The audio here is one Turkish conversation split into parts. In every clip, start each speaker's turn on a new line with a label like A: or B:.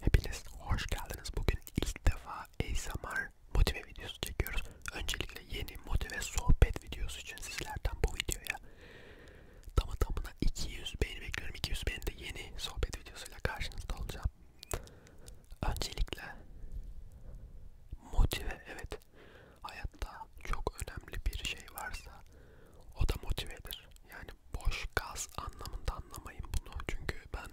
A: Hepiniz hoş geldiniz. Bugün ilk defa ASMR motive videosu çekiyoruz. Öncelikle yeni motive sohbet videosu için sizlerden bu videoya tamı tamına 200 beğeni bekliyorum. 200 beğeni de yeni sohbet videosuyla karşınızda olacağım. Öncelikle motive evet hayatta çok önemli bir şey varsa o da motivedir. Yani yani boş gaz anlamında anlamayın bunu çünkü ben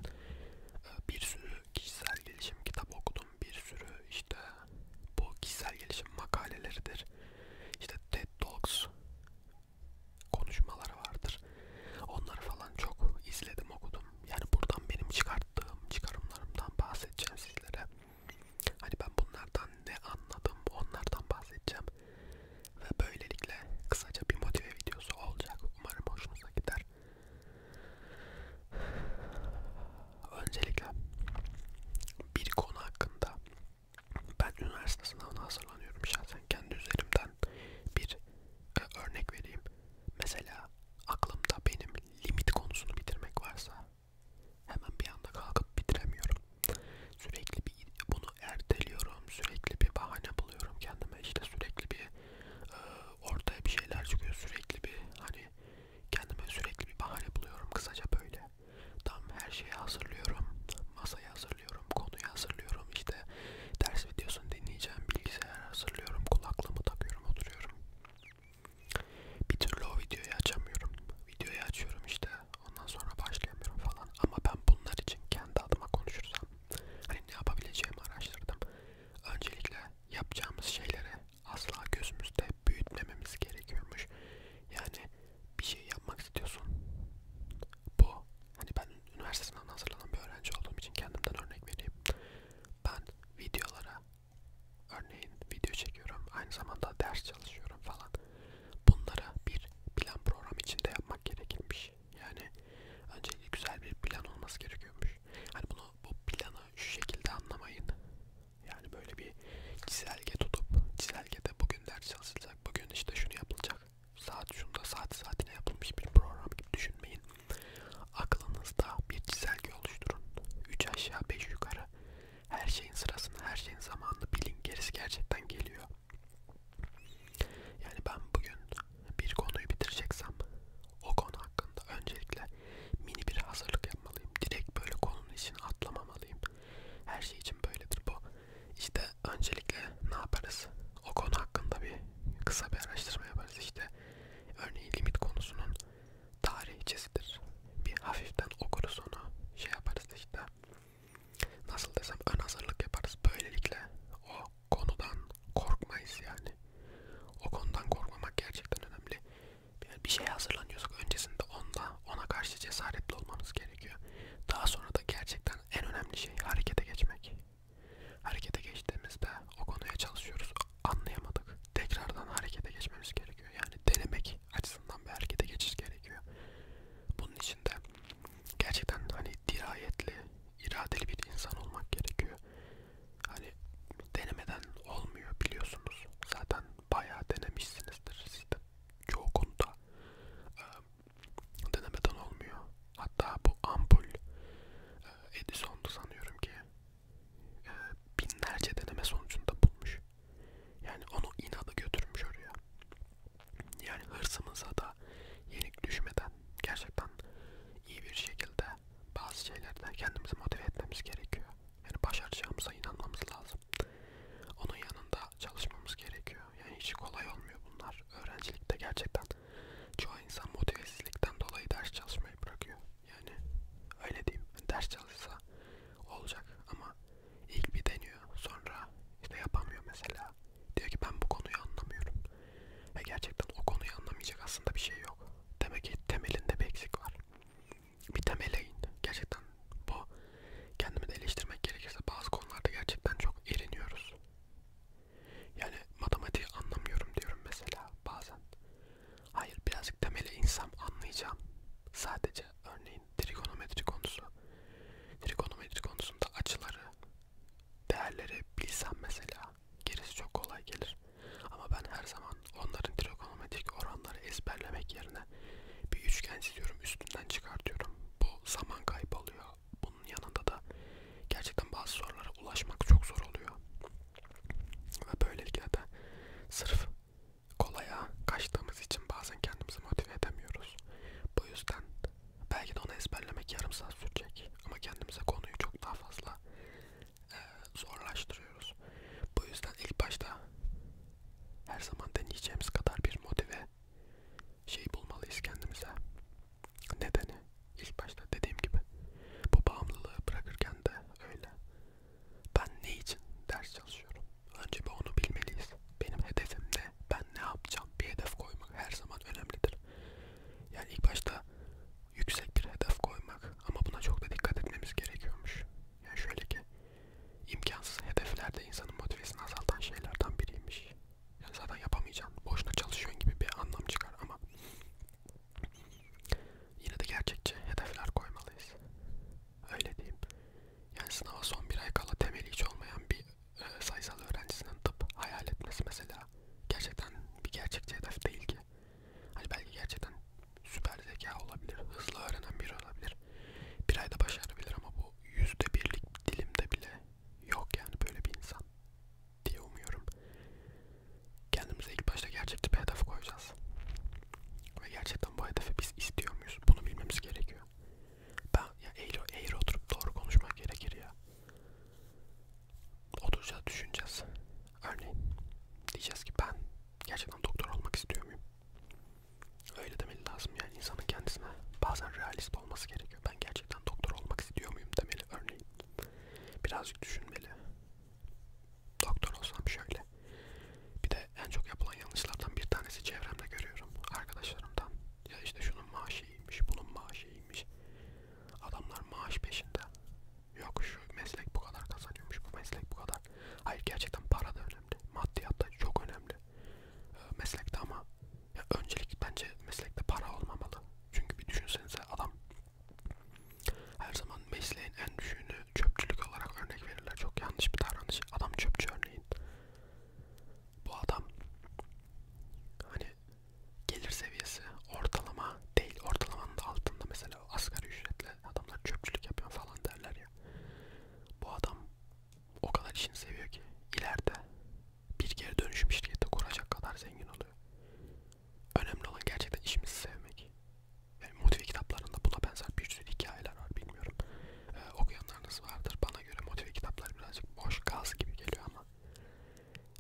A: e, bir sürü kişisel gelişim kitap okudum bir sürü işte bu kişisel gelişim makaleleridir işte TED Talks konuşmaları vardır onları falan çok izledim okudum yani buradan benim çıkarttığım çıkarımlarımdan bahsedeceğim sizlere hani ben bunlardan ne anladım onlardan bahsedeceğim ve böylelikle kısaca bir motive videosu olacak. Umarım hoşunuza gider. Öncelikle bir konu hakkında ben üniversite sınavına hazırlanıyorum şahsen kendi üzerimden bir e, örnek vereyim. Mesela aklımda benim limit konusunu bitirmek varsa hemen bir anda kalkıp bitiremiyorum sürekli bir bunu erteliyorum, sürekli bir bahane buluyorum kendime. İşte sürekli bir e, ortaya bir şeyler çıkıyor, sürekli bir hani kendime sürekli bir bahane buluyorum. Kısaca böyle. Tam her şeyi hazırlıyorum, masayı hazırlıyorum, konuyu hazırlıyorum. İşte ders videosunu dinleyeceğim, bilgisayar hazırlıyorum, kulaklığımı takıyorum, oturuyorum. Bir türlü o videoyu açamıyorum. Videoyu açıyorum işte Ondan sonra başlayamıyorum falan. Ama ben bunlar için kendi adıma konuşursam hani ne yapabileceğimi araştırdım. Öncelikle yapacağımız şeyleri asla gözümüzde büyütmememiz gerekiyormuş. Yani bir şey yapmak istiyorsun. Bu hani ben üniversite sınavına hazırlanan bir öğrenci olduğum için kendimden örnek vereyim. Ben videolara örneğin video çekiyorum. Aynı zamanda ders çalışıyorum falan. Bunları bir plan program içinde yapmak gerekirmiş iş. Yani öncelikle güzel bir plan olması gerekiyormuş. Hani bunu bu planı şu şekilde anlamayın. Yani böyle bir çizelge tutup çizelgede bugün ders çalışılacak, bugün işte şunu yapılacak. Saat şunda saat saatine yapılmış bir program gibi düşünmeyin. Aklınızda bir çizelge oluşturun. 3 aşağı 5 yukarı. Her şeyin sırasını, her şeyin zamanını bilin. Gerisi gerçekten geliyor. Yani ben bugün bir konuyu bitireceksem o konu hakkında öncelikle mini bir hazırlık yapmalıyım. Direkt böyle konunun içine atlamamalıyım. Her şey için böyledir bu. İşte öncelikle ne yaparız? O konu hakkında bir kısa bir araştırma yaparız. İşte örneğin limit konusunun tarihçesidir. Bir hafiften okuruz onu. Şey yaparız işte nasıl desem ön hazırlık yaparız. Böylelikle o konudan korkmayız yani. O konudan korkmamak gerçekten önemli. Yani bir şey hazırlanıyorsak öncesinde onda ona karşı cesaretli olmanız gerekiyor. Daha sonra da gerçekten en önemli şey harekete geçmek. Harekete geçtiğimizde o konuya çalışıyoruz. Anlayamadık. Tekrardan harekete geçmemiz gerekiyor. Yani denemek açısından bir harekete geçiş gerekiyor. Bunun için de gerçekten hani dirayetli, iradeli bir insan olmak gerekiyor. Hani denemeden olmuyor biliyorsunuz. Zaten bayağı denemişsinizdir siz de çoğu konuda. E, denemeden olmuyor. Hatta bu ampul e, Edison'du sanıyorum ki. E, binlerce deneme sonucunda bulmuş. Yani onu inadı götürmüş oraya. Yani hırsımıza da yenik düşmeden gerçekten iyi bir şekilde bazı şeylerde kendimizi motive etmemiz gerekiyor. Yani başaracağımıza inanmamız lazım. Onun yanında çalışmamız gerekiyor. Yani hiç kolay olmuyor bunlar. Öğrencilikte gerçekten çoğu insan motivesizlikten dolayı ders çalışmayı bırakıyor. Yani öyle diyeyim. Ders çalışsa olacak ama İlk bir deniyor sonra işte yapamıyor mesela. Diyor ki ben bu konuyu anlamıyorum. Ve gerçekten o konuyu anlamayacak aslında bir şey yok. Demek ki temelinde bir eksik var. Bir temele in. Gerçekten bu kendimi de eleştirmek gerekirse bazı konularda gerçekten çok eriniyoruz. Yani matematiği anlamıyorum diyorum mesela bazen. Hayır birazcık temele insem anlayacağım. Sadece örneğin örneğin trigonometri konusu. Trigonometri konusunda açıları, değerleri bilsem mesela gerisi çok kolay gelir. Ama ben her zaman onların trigonometrik oranları ezberlemek yerine bir üçgen çiziyorum, üstünden çıkartıyorum. Bu zaman kaybı oluyor. Bunun yanında da gerçekten bazı sorulara ulaşmak çok zor oluyor. Ve böylelikle de sırf kolaya kaçtığımız için bazen kendimizi motive edemiyoruz. Bu yüzden belki de onu ezberlemek yarım saat sürecek ama kendimize konuyu çok daha fazla e, zorlaştırıyoruz. Bu yüzden ilk başta her zaman deneyeceğimiz kadar bir motive şey bulmalıyız kendimize. Nedeni ilk başta dediğim gibi bu bağımlılığı bırakırken de öyle. Ben ne için ders çalışıyorum? Önce bir onu bilmeliyiz. Benim hedefim ne? Ben ne yapacağım? Bir hedef koymak her zaman önemlidir. Yani ilk başta yüksek bir hedef koymak ama buna çok da dikkat etmemiz gerekiyormuş. Yani şöyle ki imkansız hedefler de insanın motivesini azaltan şeylerden biriymiş. Yani zaten yapamayacaksın. Boşuna çalışıyorsun gibi bir anlam çıkar ama yine de gerçekçi hedefler koymalıyız. Öyle diyeyim. Yani sınava son bir ay kala temeli hiç olmayan bir e, sayısal öğrencisinin tıp hayal etmesi mesela gerçekten bir gerçekçi hedef değil ki. Hani belki gerçekten süper zeka olabilir, hızlı öğrenen biri olabilir. Bir ayda başarabilir ama bu yüzde birlik dilimde bile yok yani böyle bir insan diye umuyorum. Kendimize ilk başta gerçekçi bir hedef koyacağız. Ve gerçekten bu hedefi biz istiyor muyuz? Bunu bilmemiz gerekiyor ya. Ben ya eğri, eğri oturup doğru konuşmak gerekir ya. Oturacağız düşüneceğiz. Örneğin diyeceğiz ki ben gerçekten doktor olmak istiyor muyum? Öyle demeli lazım yani insanın kendisine bazen realist olması gerekiyor. Ben gerçekten doktor olmak istiyor muyum demeli örneğin. Birazcık düşünmeli. Doktor olsam şöyle, bir de en çok yapılan yanlışlardan bir tanesi çevremde görüyorum arkadaşlarımdan. Ya işte şunun maaşı iyiymiş, bunun maaşı iyiymiş. Adamlar maaş peşinde. Yok şu meslek bu kadar kazanıyormuş, bu meslek bu kadar. Hayır gerçekten para da önemli, maddiyat da çok önemli. Ee, meslekte ama ya öncelik bence meslekte para olmamalı. Çünkü bir düşünsenize adam her zaman mesleğin en düşüğünü çöpçülük olarak örnek verirler. Çok yanlış bir davranış. Adam çöpçü örneğin. Bu adam hani gelir seviyesi ortalama değil. Ortalamanın da altında mesela asgari ücretle adamlar çöpçülük yapıyor falan derler ya. Bu adam o kadar işini seviyor ki ileride bir geri dönüşüm şirketi kuracak kadar zengin oluyor. Önemli olan gerçekten işimizi sevmek motive kitaplarında buna benzer bir sürü hikayeler var bilmiyorum. Ee, okuyanlarınız vardır. Bana göre motive kitapları birazcık boş gaz gibi geliyor ama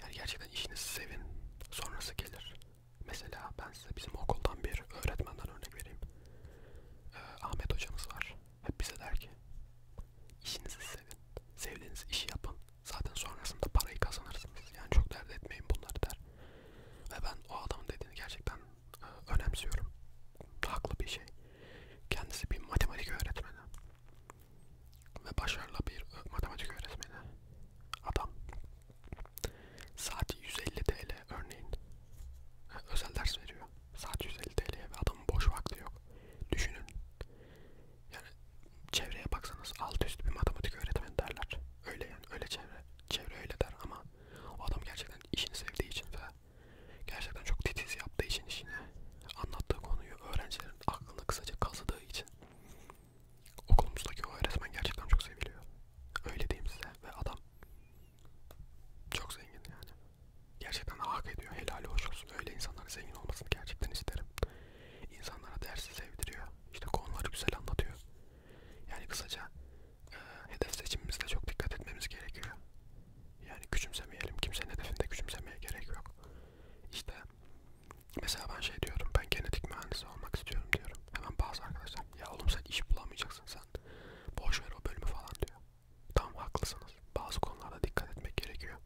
A: yani gerçekten işinizi sevin. Sonrası gelir. Mesela ben size bizim okuldan bir öğretmenden örnek vereyim. Ee, Ahmet hocamız var. Hep bize der ki işinizi sevin. Sevdiğiniz işi yapın. Zaten sonrasında parayı kazanırsınız. Yani çok dert etmeyin bunları der. Ve ben o adamın dediğini gerçekten önemsiyorum. Haklı bir şey. Kendisi bir matematik öğretmeni. Ve başarılı bir e, matematik öğretmeni. Adam saati 150 TL örneğin. Özel ders veriyor. Saat 150 TL'ye ve adamın boş vakti yok. Düşünün. Yani çevreye baksanız alt üst bir matematik öğretmeni derler. Öyle yani öyle çevre. Çevre öyle der ama ama o adam gerçekten işini sevdiği için ve gerçekten çok titiz yaptığı için işini anlattığı konuyu öğrencilerin aklını kısaca kazıdığı için okulumuzdaki o öğretmen gerçekten çok seviliyor. Öyle diyeyim size ve adam çok zengin yani. Gerçekten hak ediyor. Helali hoş olsun. Öyle insanların zengin olmasını gerçekten isterim. İnsanlara dersi sevdiriyor. İşte konuları güzel anlatıyor. Yani kısaca e, hedef seçimimizde çok dikkat etmemiz gerekiyor. Yani küçümsemeyelim. Kimsenin hedefinde küçümsemeye gerek yok. İşte mesela ben şey diyorum. Ben genetik mühendisi olmak istiyorum diyorum. Hemen bazı arkadaşlar ya oğlum sen iş bulamayacaksın sen. Boş ver o bölümü falan diyor. Tam haklısınız. Bazı konularda dikkat etmek gerekiyor.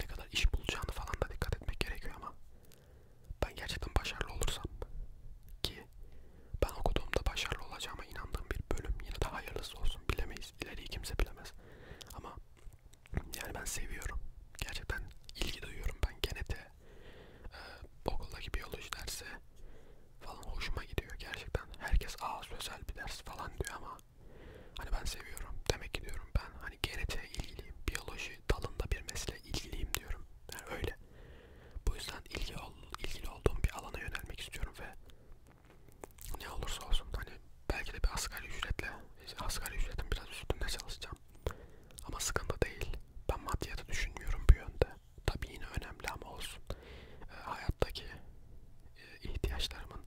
A: Ne kadar iş bulacağını falan da dikkat etmek gerekiyor ama ben gerçekten başarılı olursam ki ben okuduğumda başarılı olacağıma inandığım bir bölüm yine de hayırlısı olsun bilemeyiz ileriyi kimse bilemez ama yani ben seviyorum gerçekten ilgi duyuyorum ben genete e, okuldaki biyoloji dersi falan hoşuma gidiyor gerçekten herkes aa sözel bir ders falan diyor ama hani ben seviyorum demek ki diyorum ben hani genetiğe ilgiliyim biyoloji dalında bir mesleğe ilgiliyim diyorum yani öyle bu yüzden ilgi ol, ilgili olduğum bir alana yönelmek istiyorum ve ne olursa olsun hani belki de bir asgari ücretle asgari ücretin biraz üstünde çalışacağım. Ama sıkıntı değil. Ben maddiyatı düşünmüyorum bu yönde. Tabii yine önemli ama olsun. E, hayattaki e, ihtiyaçlarımın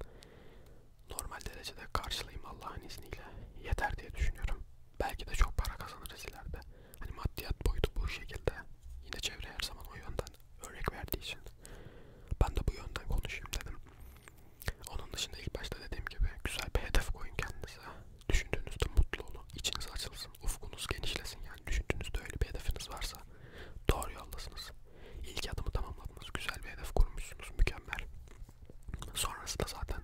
A: normal derecede karşılayayım Allah'ın izniyle. Yeter diye düşünüyorum. Belki de çok para kazanırız ileride hani maddiyat boyutu bu şekilde yine çevre her zaman o yönden örnek verdiği için ben de bu yönden konuşayım dedim. Onun dışında ilk başta dediğim gibi güzel bir hedef koyun kendinize. Düşündüğünüzde mutlu olun. İçiniz açılsın. Ufkunuz genişlesin. Yani düşündüğünüzde öyle bir hedefiniz varsa doğru yoldasınız. İlk adımı tamamladınız. Güzel bir hedef kurmuşsunuz. Mükemmel. Sonrası da zaten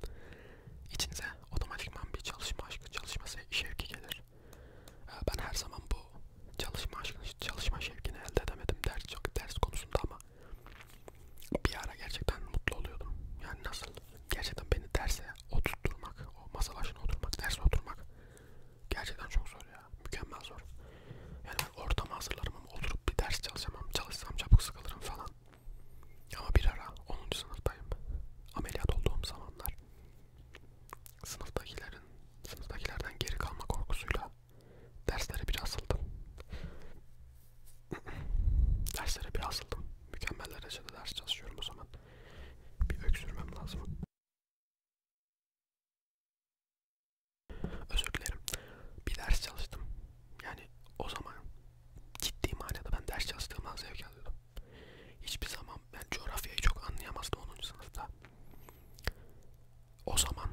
A: içinize otomatikman bir çalışma aşkı, çalışma şevki gelir. Ee, ben her zaman bu çalışma aşkını, çalışma şevkini elde edemedim ders çok ders konusunda ama bir ara gerçekten mutlu oluyordum. Yani nasıl gerçekten beni derse oturtturmak, o masa başına oturmak, derse oturmak gerçekten çok zor ya. Mükemmel zor. Yani ben ortamı hazırlarım ama oturup bir ders çalışamam. Çalışsam çabuk sıkılırım falan. Ama bir ara 10. sınıftayım. Ameliyat olduğum zamanlar sınıftakilerin, sınıftakilerden geri kalma korkusuyla derslere bir asıldım. derslere bir asıldım. Mükemmel derecede ders çalışıyorum o zaman. Bir öksürmem lazım. Özür dilerim. Bir ders çalıştım. Yani o zaman ciddi manada ben ders çalıştığımdan zevk alıyordum. Hiçbir zaman ben coğrafyayı çok anlayamazdım 10. sınıfta. O zaman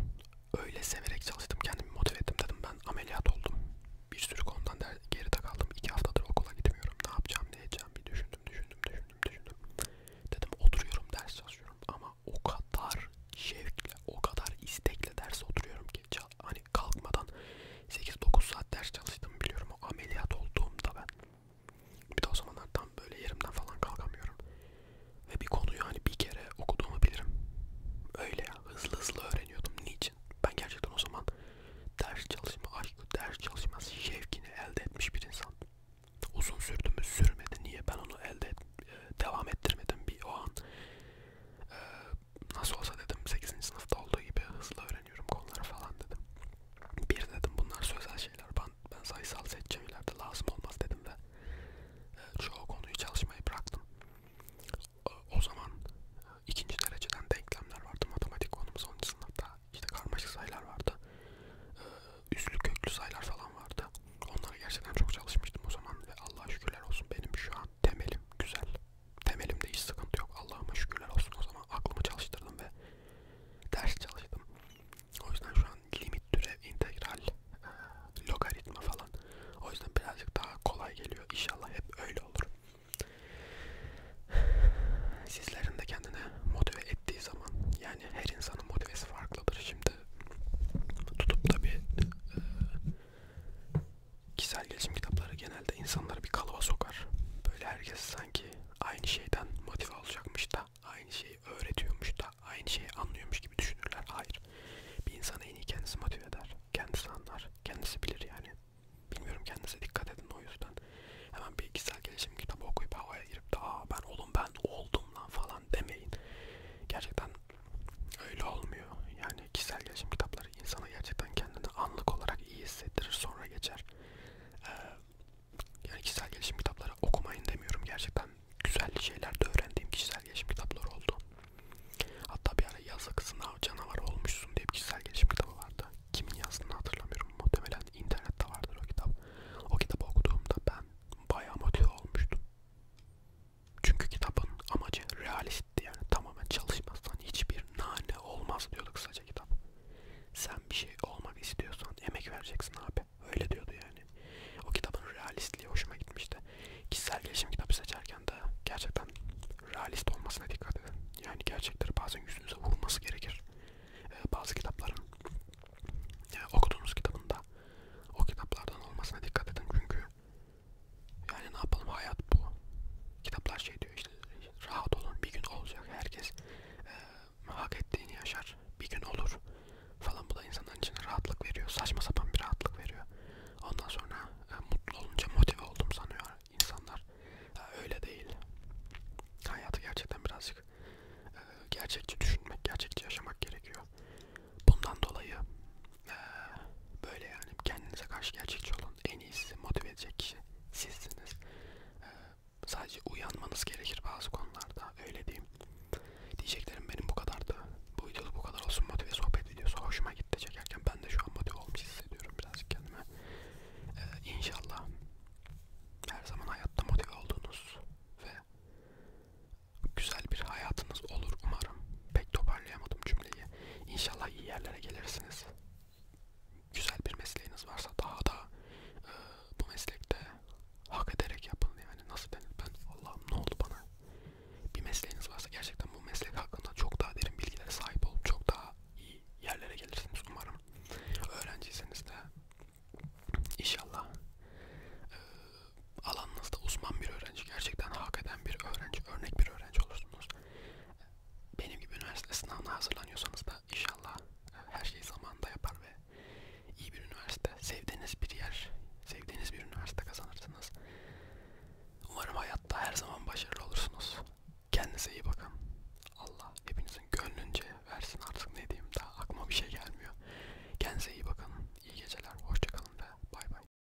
A: öyle severek çalıştım kendimi motive ettim dedim ben ameliyat oldum. Bir sürü konudan der, geride kaldım. 2 haftadır okula gitmiyorum. Ne yapacağım ne edeceğim bir düşündüm düşündüm düşündüm düşündüm. Dedim oturuyorum ders çalışıyorum ama o kadar şevkle o kadar istekle ders oturuyorum ki hani kalkmadan 8-9 saat ders çalıştım biliyorum o ameliyat olduğumda ben. Bir de o zamanlar tam böyle yerimden falan kalkamıyorum. Ve bir konuyu hani bir kere okuduğumu bilirim. Öyle ya hızlı hızlı öğreniyordum. Niçin? Ben gerçekten o zaman ders çalışma aşkı, ders çalışma şevkini elde etmiş bir insan. Uzun sürdü mü sürmedi. Niye? Ben onu elde et, e, devam ettirmedim bir o an. Ee, nasıl olsa dedim 8. sınıfta olduğu gibi hızlı öğreniyorum konuları falan dedim. Bir dedim bunlar sözel şeyler ben, ben sayısal seçeceğim ileride lazım olmaz dedim ve e, çoğu konuyu çalışmayı bıraktım. O, o zaman e, ikinci dereceden denklemler vardı matematik konumuz 10. sınıfta işte karmaşık sayılar vardı. E, üslü köklü sayılar falan vardı. Onlara gerçekten çok çalışmıştım o zaman ve Allah şükürler olsun benim şu an temelim güzel. Temelimde hiç sıkıntı yok. Allah'ıma şükürler olsun o zaman. Aklımı çalıştırdım ve ders çalıştım. O yüzden şu an limit türev, integral, e, logaritma falan. O yüzden birazcık daha kolay geliyor. İnşallah hep öyle olur. Sizlerin de kendine motive ettiği zaman yani her insanın motivesi farklıdır. Şimdi tutup da bir e, kişisel gelişim kitapları genelde insanları bir kalıba sokar. Böyle herkes sanki aynı şeyden motive olacakmış da, aynı şeyi öğretiyormuş da, aynı şeyi anlıyormuş gibi düşünürler. Hayır. Bir insanı en iyi kendisi motive eder. Kendisi anlar. Kendisi bilir yani. Bilmiyorum kendinize dikkat edin o yüzden. Hemen bir kişisel gelişim kitabı okuyup havaya girip de aa ben oğlum ben oldum lan falan demeyin. Gerçekten öyle olmuyor. Yani kişisel gelişim kitapları olmaları insana gerçekten kendini anlık olarak iyi hissettirir sonra geçer. Ee, yani kişisel gelişim kitapları okumayın demiyorum gerçekten güzel şeyler de öğrendiğim kişisel gelişim kitapları oldu. Hatta bir ara yazık sınav canavar olmuşsun diye bir kişisel gelişim kitabı vardı. Kimin yazdığını hatırlamıyorum muhtemelen internette vardır o kitap. O kitabı okuduğumda ben bayağı motive olmuştum. Çünkü kitabın amacı realist basit yani tamamen çalışmazsan hiçbir nane olmaz diyordu kısaca kitap. Sen bir şey olmak istiyorsan emek vereceksin abi. Öyle diyordu yani. O kitabın realistliği hoşuma gitmişti. Kişisel gelişim kitabı seçerken de gerçekten realist olmasına dikkat edin. Yani gerçekleri bazen yüzünüze vurması gerekir. Ee, bazı kitapların e, okuduğunuz kitabında o kitaplardan olmasına dikkat edin çünkü yani ne yapalım hayat bu. Kitaplar şey diyor işte rahat olun bir gün olacak herkes e, hak ettiğini yaşar bir gün olur falan bu da insanların içine rahatlık veriyor saçma sapan bir rahatlık veriyor. Ondan sonra e, mutlu olunca motive oldum sanıyor insanlar. E, öyle değil. Hayatı gerçekten birazcık e, gerçekçi düşünmek, gerçekçi yaşamak gerekiyor. Bundan dolayı ee, böyle yani kendinize karşı gerçekçi olun. En iyi sizi motive edecek kişi sizsiniz. Ee, sadece uyanmanız gerekir bazı konularda. Öyle diyeyim. Diyeceklerim benim bu kadardı. Bu videoda bu kadar olsun. Motive sohbet videosu hoşuma gitti çekerken. Ben de şu an motive olmuş hissediyorum birazcık kendime. Ee, inşallah her zaman hayatta motive olduğunuz ve güzel bir hayatınız olur umarım. Pek toparlayamadım cümleyi. İnşallah iyi yerlere gelirsiniz. Güzel bir mesleğiniz varsa daha da e, bu meslekte hak ederek yapın. Yani nasıl ben, ben Allah'ım ne oldu bana? Bir mesleğiniz varsa gerçekten bu meslek hakkında çok daha derin bilgilere sahip olup çok daha iyi yerlere gelirsiniz umarım. Öğrenciyseniz de inşallah e, alanınızda uzman bir öğrenci, gerçekten hak eden bir öğrenci, örnek bir öğrenci olursunuz yapıyorsunuz. Benim gibi üniversite sınavına hazırlanıyorsanız da inşallah e, her şeyi zamanında yapar ve iyi bir üniversite, sevdiğiniz bir yer, sevdiğiniz bir üniversite kazanırsınız. Umarım hayatta her zaman başarılı olursunuz. Kendinize iyi bakın. Allah hepinizin gönlünce versin artık ne diyeyim daha aklıma bir şey gelmiyor. Kendinize iyi bakın. İyi geceler. Hoşçakalın ve bay bay.